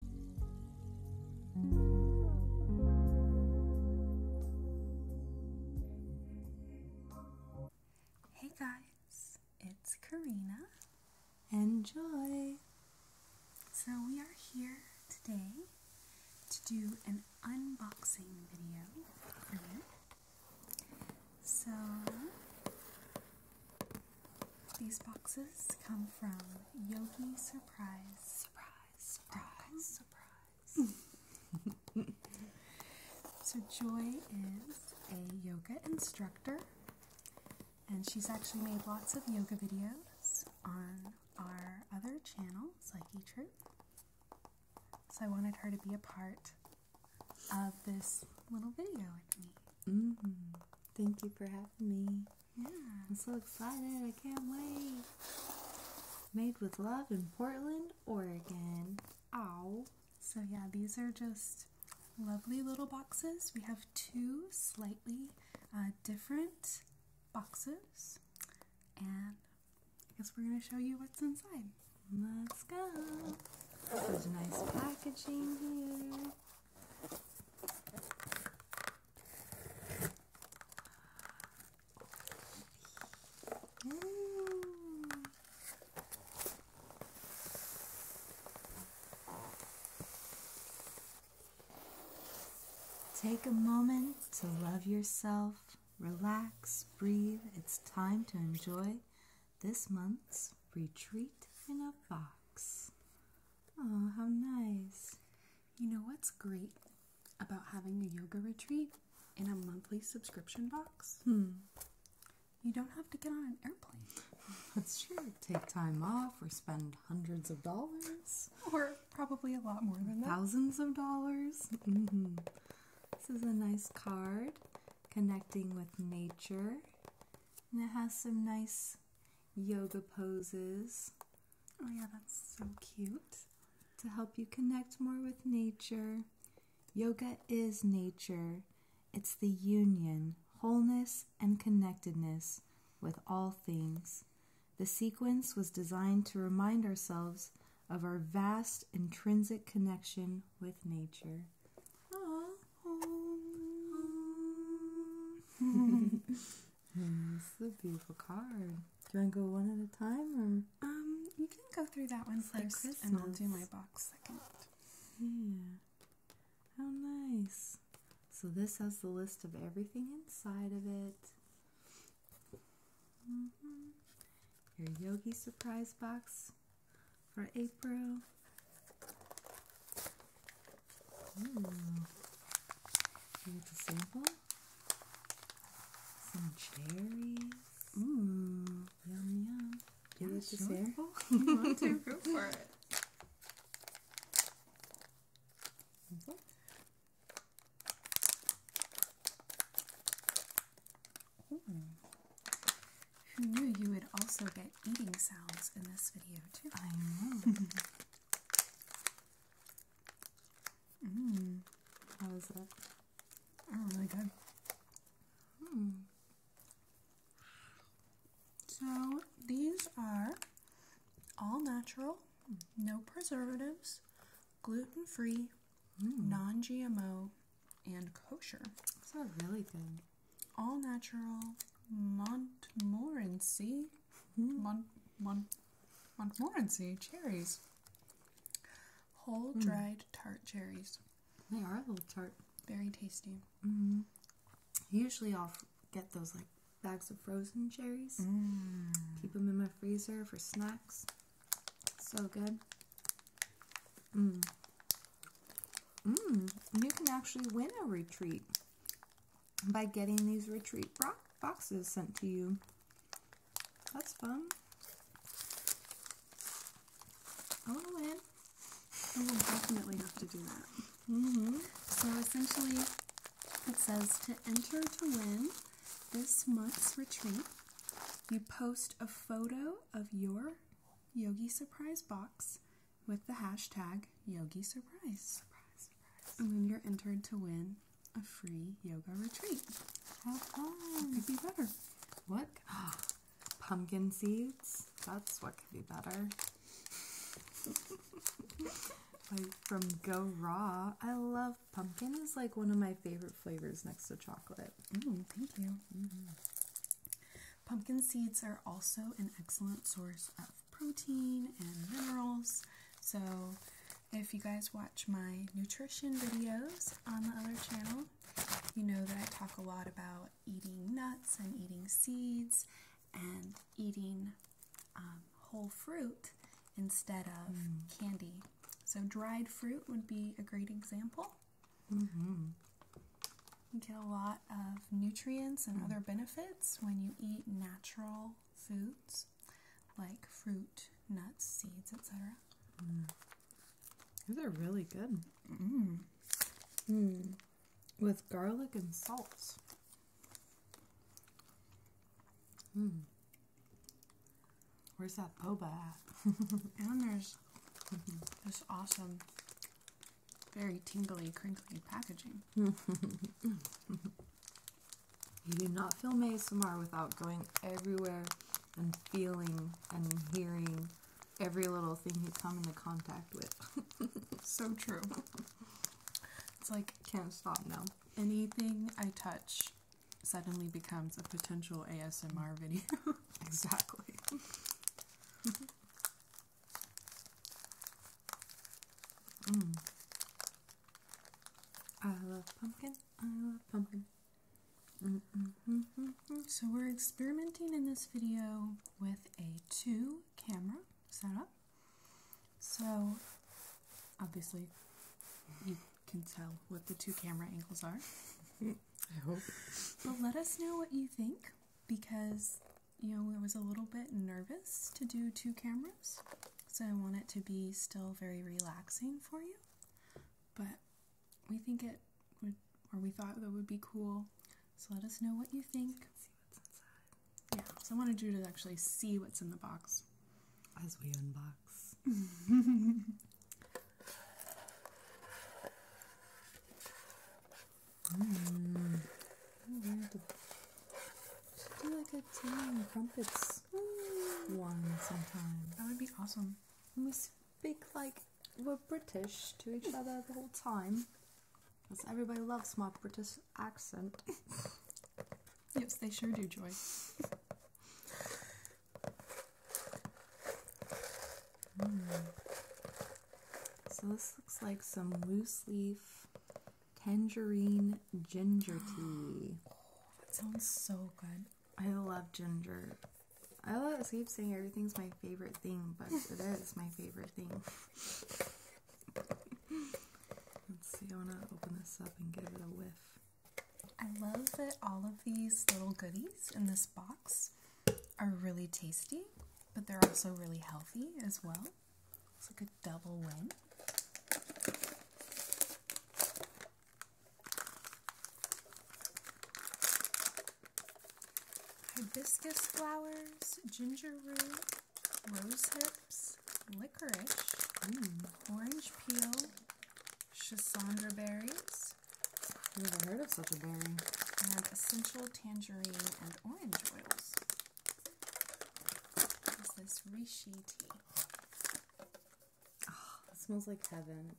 Hey guys, it's Karina. Enjoy! So, we are here today to do an unboxing video for you. So, these boxes come from Yogi Surprise. Surprise, surprise, surprise. so, Joy is a yoga instructor, and she's actually made lots of yoga videos on our other channel, Psyche Truth. So, I wanted her to be a part of this little video with me. Mm-hmm. Thank you for having me. Yeah, I'm so excited. I can't wait. Made with love in Portland, Oregon. Ow. So, yeah, these are just lovely little boxes. We have two slightly uh, different boxes. And I guess we're going to show you what's inside. Let's go. nice packaging here. Take a moment to love yourself, relax, breathe. It's time to enjoy this month's retreat in a box. Oh, how nice. You know what's great about having a yoga retreat in a monthly subscription box? Hmm. You don't have to get on an airplane. That's true. Take time off or spend hundreds of dollars. Or probably a lot more than that. Thousands of dollars. Mm-hmm. This is a nice card connecting with nature. And it has some nice yoga poses. Oh, yeah, that's so cute. To help you connect more with nature. Yoga is nature, it's the union, wholeness, and connectedness with all things. The sequence was designed to remind ourselves of our vast intrinsic connection with nature. Aww, this is a beautiful card. Do I go one at a time, or um, you can go through that one first, and I'll do my box second. Yeah. How nice. So this has the list of everything inside of it. Mm-hmm. Your Yogi surprise box for April. Here's hmm. a sample. Some cherries. Mmm. Yum yum. Do you sample? want to go for it. Mm-hmm. Hmm. Who knew you would also get eating sounds in this video too. I know. Mm. Oh, hmm. So these are all natural, no preservatives, gluten free, hmm. non GMO, and kosher. That's really good all natural Montmorency, hmm. Mont, Mont, Montmorency cherries. Whole hmm. dried tart cherries. They are a little tart. Very tasty. Mm-hmm. Usually I'll get those like bags of frozen cherries. Mm. Keep them in my freezer for snacks. So good. Mm. Mm, you can actually win a retreat by getting these retreat boxes sent to you. That's fun. I oh, want to win. I will definitely have to do that. -hmm. So essentially, it says to enter to win this month's retreat, you post a photo of your Yogi Surprise box with the hashtag Yogi Surprise. And when you're entered to win a free yoga retreat. How Could be better. What? Pumpkin seeds? That's what could be better. like from Go Raw. I love pumpkin is like one of my favorite flavors next to chocolate. Mm, thank you. Mm-hmm. Pumpkin seeds are also an excellent source of protein and minerals. So, if you guys watch my nutrition videos on the other channel, you know that I talk a lot about eating nuts and eating seeds and eating um, whole fruit instead of mm. candy. So, dried fruit would be a great example. Mm-hmm. You get a lot of nutrients and other benefits when you eat natural foods like fruit, nuts, seeds, etc. Mm. These are really good. Mm-hmm. Hmm. With garlic and salt. Hmm. Where's that boba at? and there's this awesome very tingly, crinkly packaging. you do not film ASMR without going everywhere and feeling and hearing every little thing you come into contact with. so true. It's like can't stop now. Anything I touch suddenly becomes a potential ASMR video. exactly. Mm. I love pumpkin. I love pumpkin. So we're experimenting in this video with a two camera setup. So obviously you can tell what the two camera angles are. I hope. But let us know what you think because you know I was a little bit nervous to do two cameras, so I want it to be still very relaxing for you. But we think it would, or we thought that would be cool. So let us know what you think. See what's inside. Yeah, so I wanted you to actually see what's in the box as we unbox. Mm. do like a tea and one sometime. That would be awesome. And we speak like we're British to each other the whole time. Because everybody loves my British accent. yes, they sure do, Joy. Hmm. So this looks like some loose leaf tangerine ginger tea. that sounds so good. I love ginger. I love I keep saying everything's my favorite thing, but it is my favorite thing. Let's see, I wanna open this up and give it a whiff. I love that all of these little goodies in this box are really tasty but they're also really healthy as well. It's like a double win. Hibiscus flowers, ginger root, rose hips, licorice, orange peel, chassandra berries, berries. Never heard of such a berry. And essential tangerine and orange oils. What is this reishi tea? Oh, smells like heaven.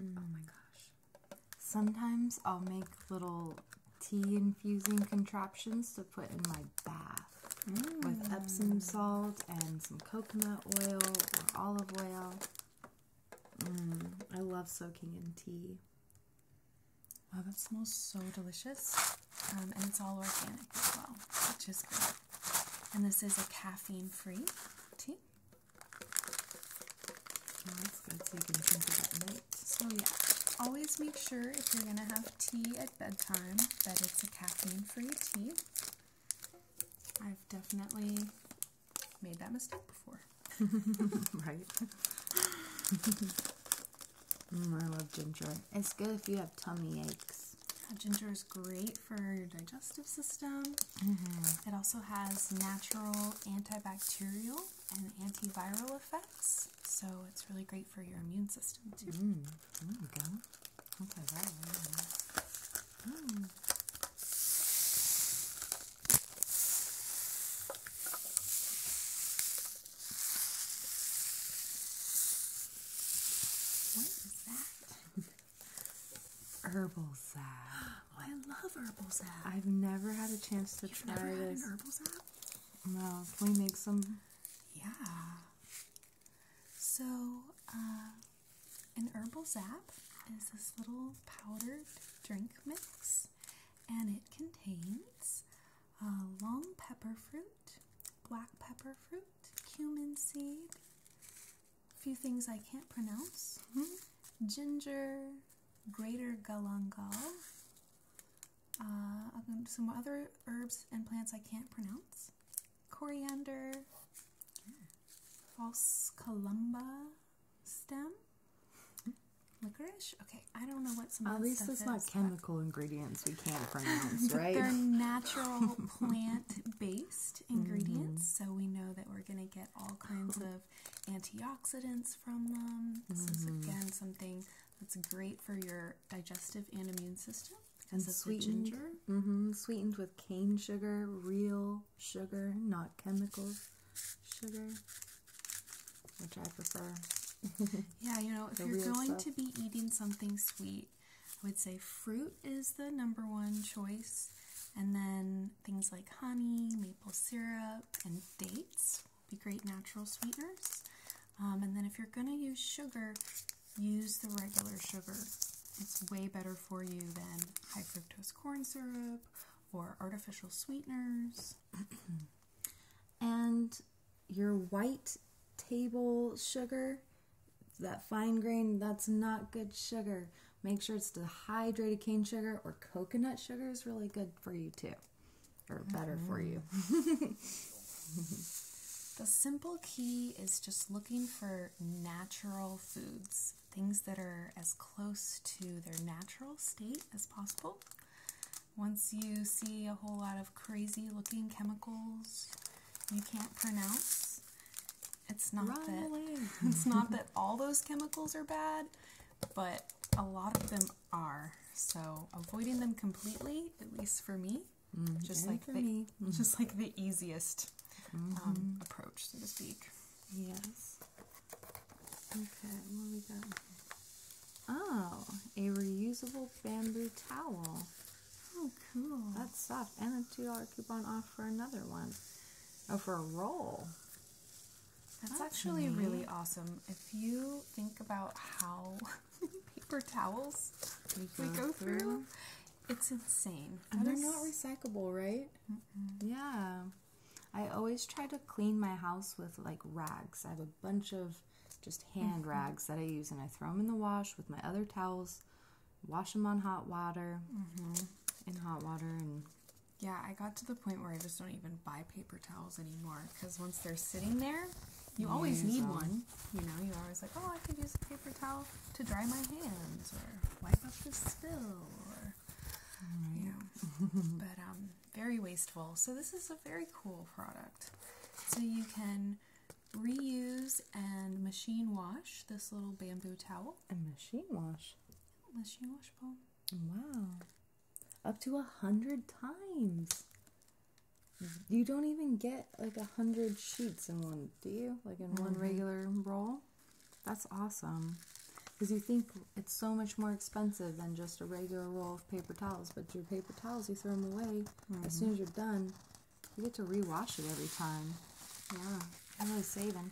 Oh my mm. gosh. Sometimes I'll make little tea infusing contraptions to put in my bath with Epsom mm. salt and some coconut oil or olive oil. Mm, I love soaking in tea. Wow, that smells so delicious. Um, and it's all organic as well, which is great. And this is a caffeine free tea. Oh, so So, yeah, always make sure if you're going to have tea at bedtime that it's a caffeine free tea. I've definitely made that mistake before. right? Mm, I love ginger. It's good if you have tummy aches. ginger is great for your digestive system. Mm-hmm. It also has natural antibacterial and antiviral effects, so it's really great for your immune system too. Mm, there you go. Okay, right. Mm. What is that? herbal sap. I love herbal sap. I've never had a chance to try never this. herbal sap? No. Can we make some? Yeah. So, uh, an herbal zap is this little powdered drink mix, and it contains uh, long pepper fruit, black pepper fruit, cumin seed, a few things I can't pronounce, mm-hmm. ginger, greater galangal, uh, some other herbs and plants I can't pronounce, coriander, mm. false columba stem? Licorice? Okay, I don't know what some. of these. At least it's not chemical ingredients we can't pronounce, right? They're natural plant-based ingredients, mm-hmm. so we know that we're going to get all kinds of antioxidants from them. This is mm-hmm. again something that's great for your digestive and immune system and the ginger. Mm-hmm, sweetened with cane sugar, real sugar, not chemicals. sugar, which I prefer. yeah, you know, if you're going to be eating something sweet, I would say fruit is the number one choice, and then things like honey, maple syrup, and dates be great natural sweeteners. Um, and then if you're going to use sugar, use the regular sugar it's way better for you than high fructose corn syrup or artificial sweeteners. and your white table sugar, that fine grain, that's not good sugar. Make sure it's the hydrated cane sugar or coconut sugar is really good for you too, or better for mm-hmm. you. the simple key is just looking for natural foods things that are as close to their natural state as possible. Once you see a whole lot of crazy looking chemicals you can't pronounce, it's not that it's not that all those chemicals are bad, but a lot of them are. So avoiding them completely, at least for me, mm, just like me. just like the easiest um, mm-hmm. approach, so to speak. Yes. Okay, what we got? Oh, a reusable bamboo towel. Oh, cool. That's soft. And a $2 coupon off for another one. Oh, for a roll. That's, actually really awesome. If you think about how paper towels we go, through, it's insane. And they're not recyclable, right? Yeah. I always try to clean my house with like rags. I have a bunch of just hand mm-hmm. rags that I use and I throw them in the wash with my other towels, wash them on hot water, mm-hmm. in hot water and yeah, I got to the point where I just don't even buy paper towels anymore because once they're sitting there, you, always need one. You know, you're always like, oh, I could use a paper towel to dry my hands or wipe up the spill or right. you mm-hmm. but um very wasteful. So this is a very cool product. So you can reuse and machine wash this little bamboo towel. And machine wash. Machine wash Wow. Up to a hundred times. You don't even get like a hundred sheets in one, do you? Like in one mm-hmm. regular roll? That's awesome. Because you think it's so much more expensive than just a regular roll of paper towels, but your paper towels, you throw them away as mm-hmm. soon as you're done. You get to rewash it every time. Yeah, I'm really saving.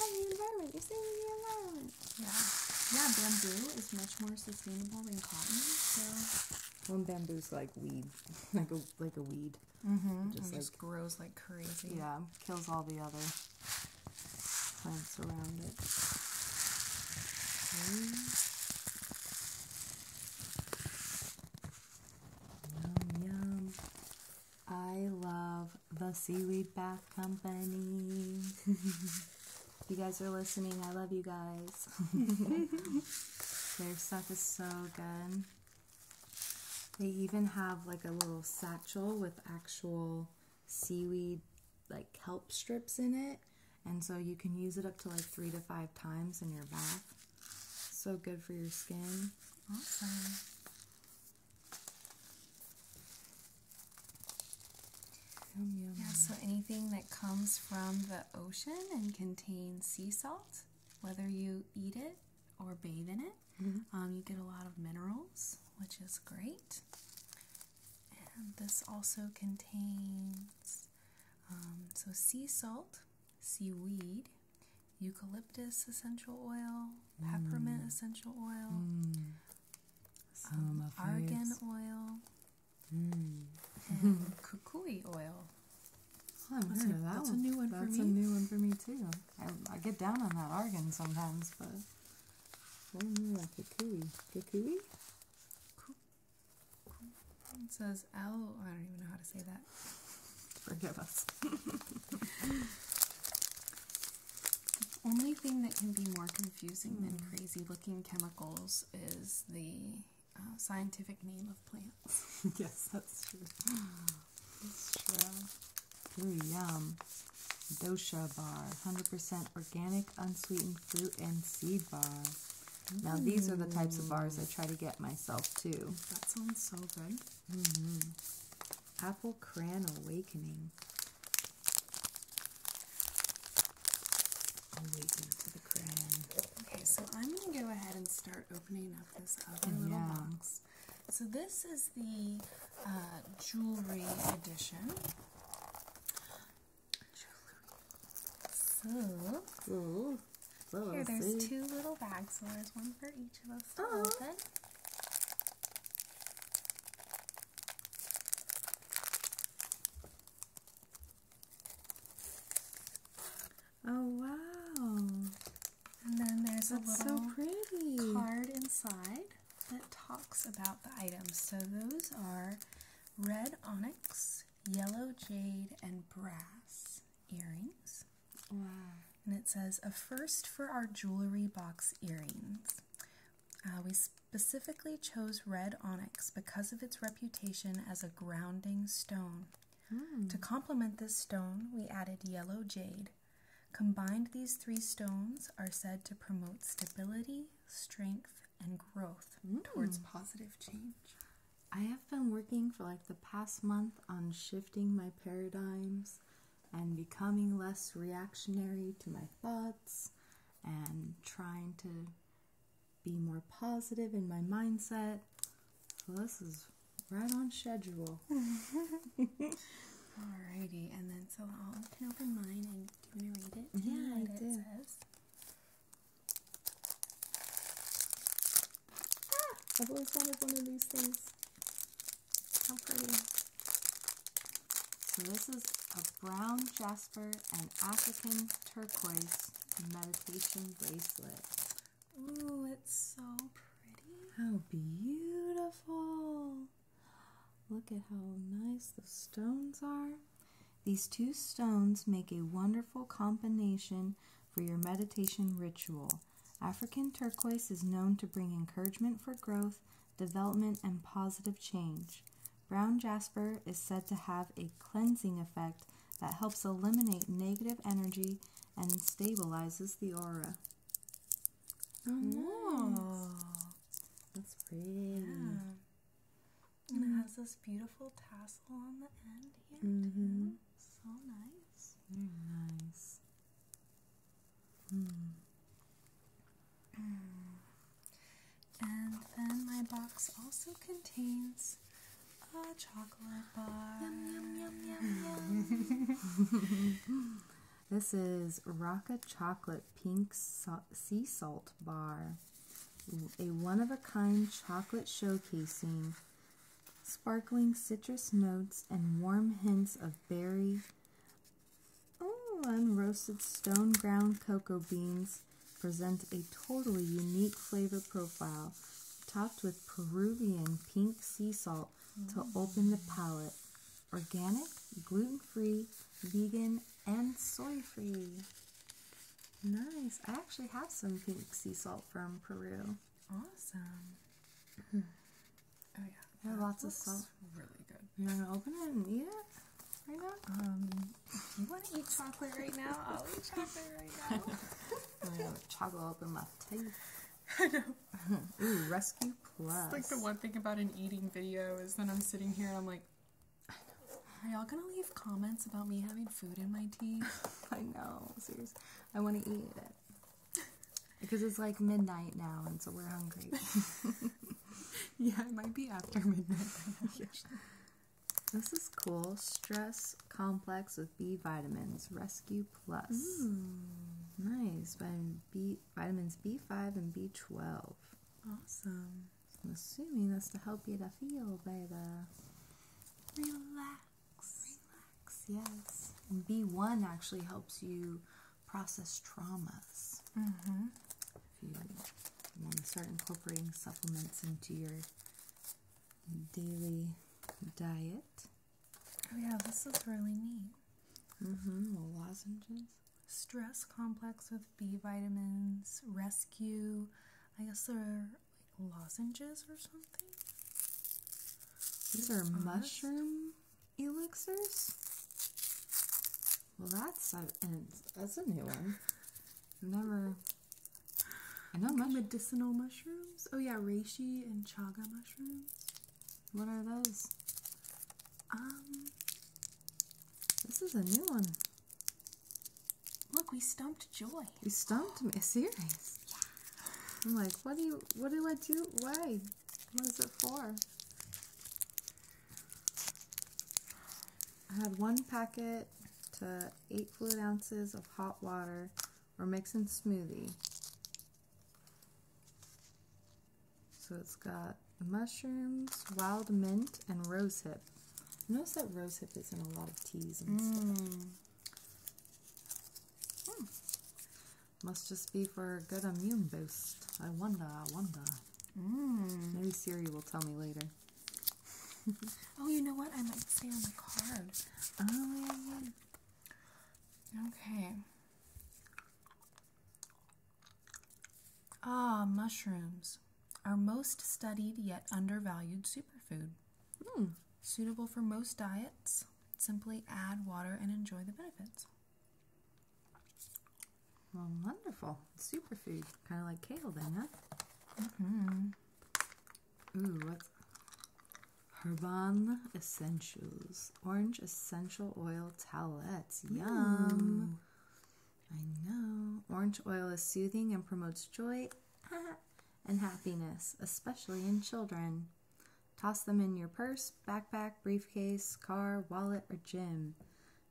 Oh, the environment, you're saving the environment. Yeah. Yeah, bamboo is much more sustainable than cotton, so. Well, bamboo's like weed, like a like a weed seed. -hmm. Just, just grows like crazy. Yeah, kills all the other plants around it. Yum, yum. I love the Seaweed Bath Company. you guys are listening. I love you guys. Their stuff is so good. They even have like a little satchel with actual seaweed, like kelp strips in it. And so you can use it up to like three to five times in your bath. So good for your skin. Awesome. Yeah, so anything that comes from the ocean and contains sea salt, whether you eat it or bathe in it, Mm-hmm. Um, you get a lot of minerals, which is great. And this also contains um, so sea salt, seaweed, eucalyptus essential oil, peppermint mm. essential oil, mm. um, argan oil, mm. and kukui oil that's, a, new one that's for me. a new one for me too. I, get down on that argan sometimes, but I knew that kukui. Kukui? It says L. I don't even know how to say that. Forgive us. the only thing that can be more confusing than hmm. crazy looking chemicals is the uh, scientific name of plants. yes, that's true. That's true. Ooh, yum. Dosha bar, 100% organic, unsweetened fruit and seed bar. Now, these are the types of bars I try to get myself, too. That sounds so good. Mm-hmm. Apple Cran Awakening. Awaken to the Cran. Okay, so I'm going to go ahead and start opening up this other and little box. So this is the uh, jewelry edition. So oh, here, there's two little bags, so there's one for each of us to oh. Oh wow. And then there's a little so pretty. card inside that talks about the items. So those are red onyx, yellow jade, and brass earrings. Wow. And it says, a first for our jewelry box earrings. Uh, we specifically chose red onyx because of its reputation as a grounding stone. Hmm. To complement this stone, we added yellow jade. Combined, these three stones are said to promote stability, strength, and growth towards hmm. positive change. I have been working for like the past month on shifting my paradigms and becoming less reactionary to my thoughts and trying to be more positive in my mindset. So this is right on schedule. Alrighty, and then so I'll open, open mine and do you want to read it? Mm-hmm, yeah, I do. Ah, I've always wanted one of these things. How pretty. So this is a brown jasper and African turquoise meditation bracelet. Oh, it's so pretty. How beautiful. Look at how nice the stones are. These two stones make a wonderful combination for your meditation ritual. African turquoise is known to bring encouragement for growth, development, and positive change. Brown jasper is said to have a cleansing effect that helps eliminate negative energy and stabilizes the aura. Oh, hmm. That's pretty. And it has this beautiful tassel on the end here, mm-hmm. So nice. Very nice. Hmm. Hmm. And then my box also contains this is Rocka Chocolate Pink Sea Salt Bar. A one of a kind chocolate showcasing sparkling citrus notes and warm hints of berry, oh, unroasted stone ground cocoa beans present a totally unique flavor profile topped with Peruvian pink sea salt to mm. open the palate. Organic, gluten free, vegan, and soy free. Nice. I actually have some pink sea salt from Peru. Awesome. Hmm. oh, yeah. There are lots of salt. really good. You want to open it and eat it? right now? Um, you want to eat chocolate right now? I'll eat chocolate right now. I'm gonna Choggle open my teeth. I know. Ooh, Rescue Plus. like the one thing about an eating video is when I'm sitting here and I'm like, Are y'all gonna leave comments about me having food in my teeth? I know. Seriously. I want to eat it. Because it's like midnight now and so we're hungry. yeah, it might be after midnight. This is cool. Stress complex with B vitamins. Rescue Plus. Hmm. Nice. Vitamin B, vitamins B5 and B12. Awesome. I'm assuming that's to help you to feel better. Relax. Relax, yes. B1 actually helps you process traumas. Mm-hmm. If you want to start incorporating supplements into your daily diet. Oh yeah, this is really neat. Mm-hmm. lozenges. Stress complex with B vitamins, rescue. I guess they're like lozenges or something. These are mushroom elixirs. Well, that's a, that's a new one. Never I know my medicinal mushrooms. Oh yeah, reishi and chaga mushrooms. What are those? Um, this is a new one. Look, we stumped Joy. We stumped me. Serious? Yeah. I'm like, what do you? What do I do? Why? What is it for? I had one packet to 8 fluid ounces of hot water We're mixing smoothie. So it's got mushrooms, wild mint, and rosehip. Notice that rosehip is in a lot of teas and stuff. Hmm. Must just be for a good immune boost. I wonder, I wonder. Hmm. Maybe Siri will tell me later oh, you know what? I might stay on the card. Um, okay. Ah, mushrooms are most studied yet undervalued superfood. Mm. Suitable for most diets. Simply add water and enjoy the benefits. Well, wonderful. Superfood. Kind of like kale, then, huh? Mm hmm. Ooh, what's Herban Essentials Orange Essential Oil Towelettes. Yum. I know. Orange oil is soothing and promotes joy and happiness, especially in children. Toss them in your purse, backpack, briefcase, car, wallet, or gym.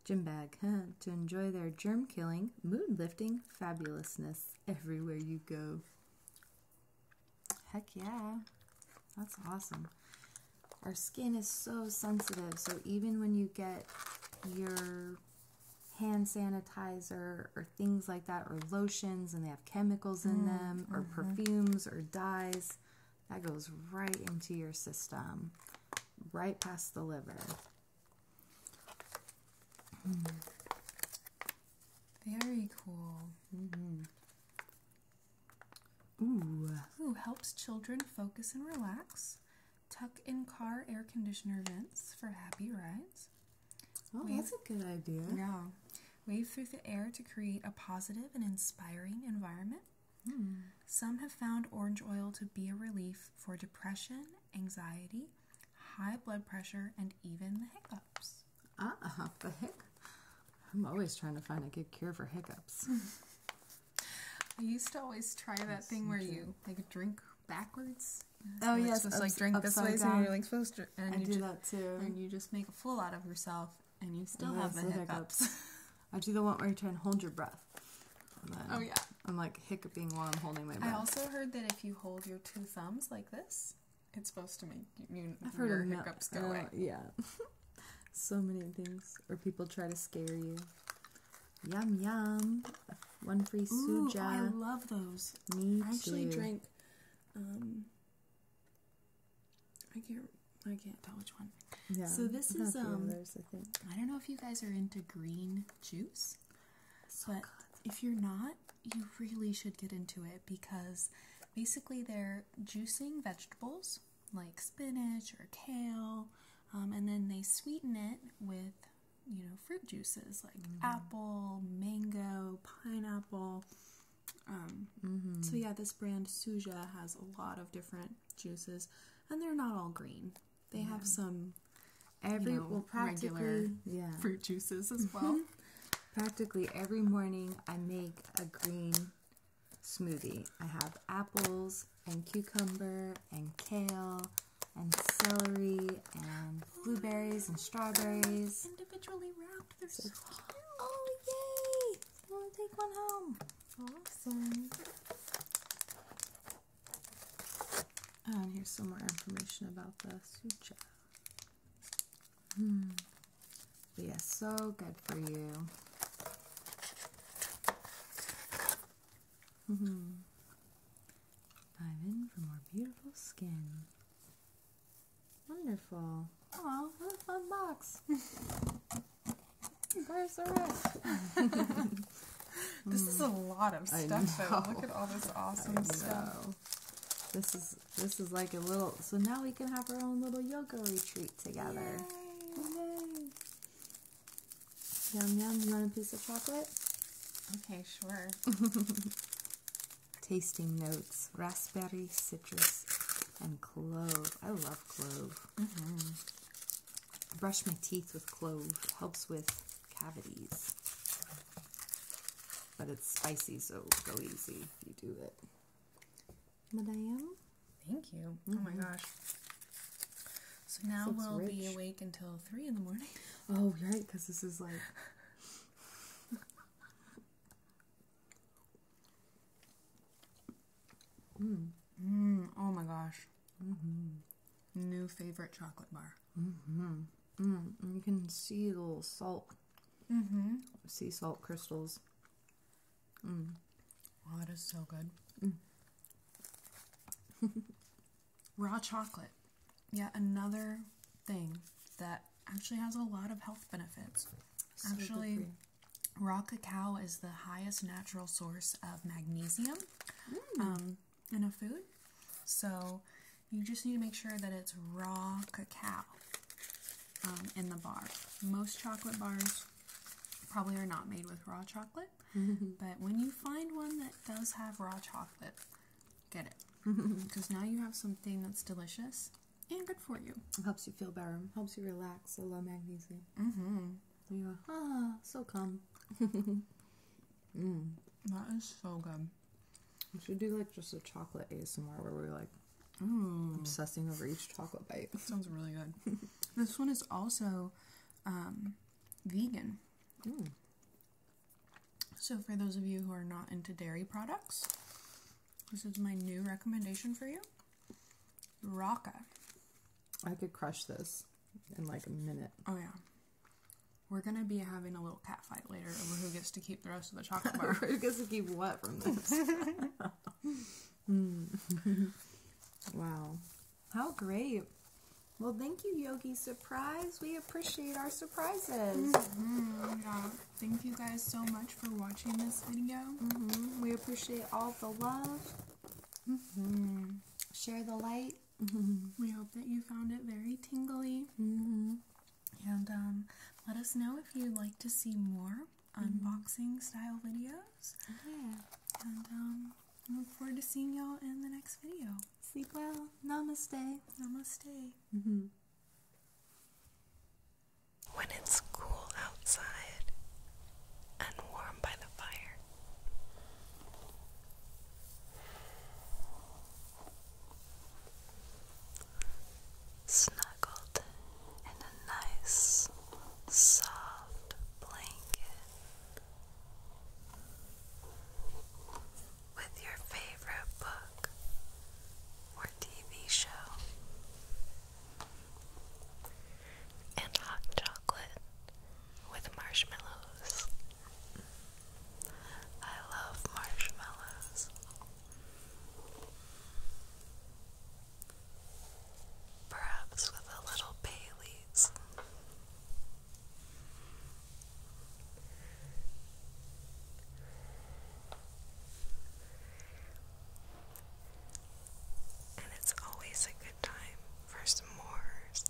Gym bag to enjoy their germ killing, mood lifting fabulousness everywhere you go. Heck yeah. That's awesome. Our skin is so sensitive, so even when you get your hand sanitizer or things like that, or lotions and they have chemicals in mm-hmm, them, or mm-hmm. perfumes or dyes, that goes right into your system, right past the liver. Very cool. Ooh. Mm-hmm. Ooh, helps children focus and relax. Tuck in car air conditioner vents for happy rides. Oh, Wave, that's a good idea. Yeah. Wave through the air to create a positive and inspiring environment. Hmm. Some have found orange oil to be a relief for depression, anxiety, high blood pressure, and even the hiccups. Ah, the hic. I'm always trying to find a good cure for hiccups. I used to always try that thing where you like drink backwards. Oh you're yes, like drink this way, so you're like supposed to. And you do that too. And you just make a fool out of yourself, and you still have the, hiccups. I do the one where you try and hold your breath oh yeah. I'm like hiccuping while I'm holding my I also heard that if you hold your two thumbs like this, it's supposed to make you, I've heard hiccups go oh, away. Yeah. so many things. Or people try to scare you. Yum yum. One free Ooh, suja. I love those. Me I actually drink. um I can't I can't tell which one. Yeah. So this is um I don't know if you guys are into green juice but if you're not, you really should get into it because basically they're juicing vegetables like spinach or kale, um, and then they sweeten it with you know fruit juices like mm-hmm. apple, mango, pineapple. Um, mm-hmm. So yeah, this brand Suja has a lot of different juices, and they're not all green. They have some every well practically fruit juices as mm-hmm. well. practically every morning I make a green smoothie. I have apples and cucumber and kale and celery and oh, blueberries and strawberries. Individually wrapped. Oh yay! want to take one home. Awesome. And oh, here's some more information about the suture. Hmm. But so good for you. Mm -hmm. Dive in for more beautiful skin. Wonderful. Oh, what a fun box. You guys are this is a lot of stuff. Look at all this awesome stuff. This is this is like a little. So now we can have our own little yoga retreat together. Yay. Yum yum! You want a piece of chocolate? Okay, sure. Tasting notes: raspberry, citrus, and clove. I love clove. Mm-hmm. brush my teeth with clove. Helps with cavities. But it's spicy, so go easy if you do it. Madame? Thank you. Oh my mm-hmm. gosh. So now we'll be awake until 3 in the morning. Oh, right, because this is like. mm. Mm, oh my gosh. Mm-hmm new favorite chocolate bar. Mm-hmm. Mm-hmm. you can see the salt, mm-hmm. sea salt crystals. Mm. Oh, that is so good. Mm. Raw chocolate. Yeah, another thing that actually has a lot of health benefits. actually, raw cacao is the highest natural source of magnesium. Mm. Um, enough food. So you just need to make sure that it's raw cacao um, in the bar. Most chocolate bars probably are not made with raw chocolate, but when you find one that does have raw chocolate, get it. Because now you have something that's delicious and good for you. It helps you feel better, helps you relax. I love magnesium. Mm-hmm. Ah, so calm. Mm. That is so good. We should do like just a chocolate ASMR where we're like mm. obsessing over each chocolate bite. That sounds really good. this one is also um, vegan. Mm. So, for those of you who are not into dairy products, this is my new recommendation for you Rocca. I could crush this in like a minute. Oh yeah. We're gonna be having a little cat fight later over who gets to keep the rest of the chocolate bar. who gets to keep what from this? Hmm. wow. How great. Well, thank you, Yogi Surprise. We appreciate our surprises. Mm-hmm. Thank you guys so much for watching this video. Mm-hmm. We appreciate all the love. Mm-hmm. Share the light Mm-hmm. We hope that you found it very tingly. Mm-hmm. And um, let us know if you'd like to see more mm-hmm. unboxing style videos. And um, look forward to seeing y'all in the next video. Sleep well. Namaste. Namaste. When it's cool outside and warm by the fire, Snuggled in a nice, soft blanket with your favorite book or TV show and hot chocolate with marshmallows. I love marshmallows. Perhaps with a little Bailey's. And it's always a good time for s'mores.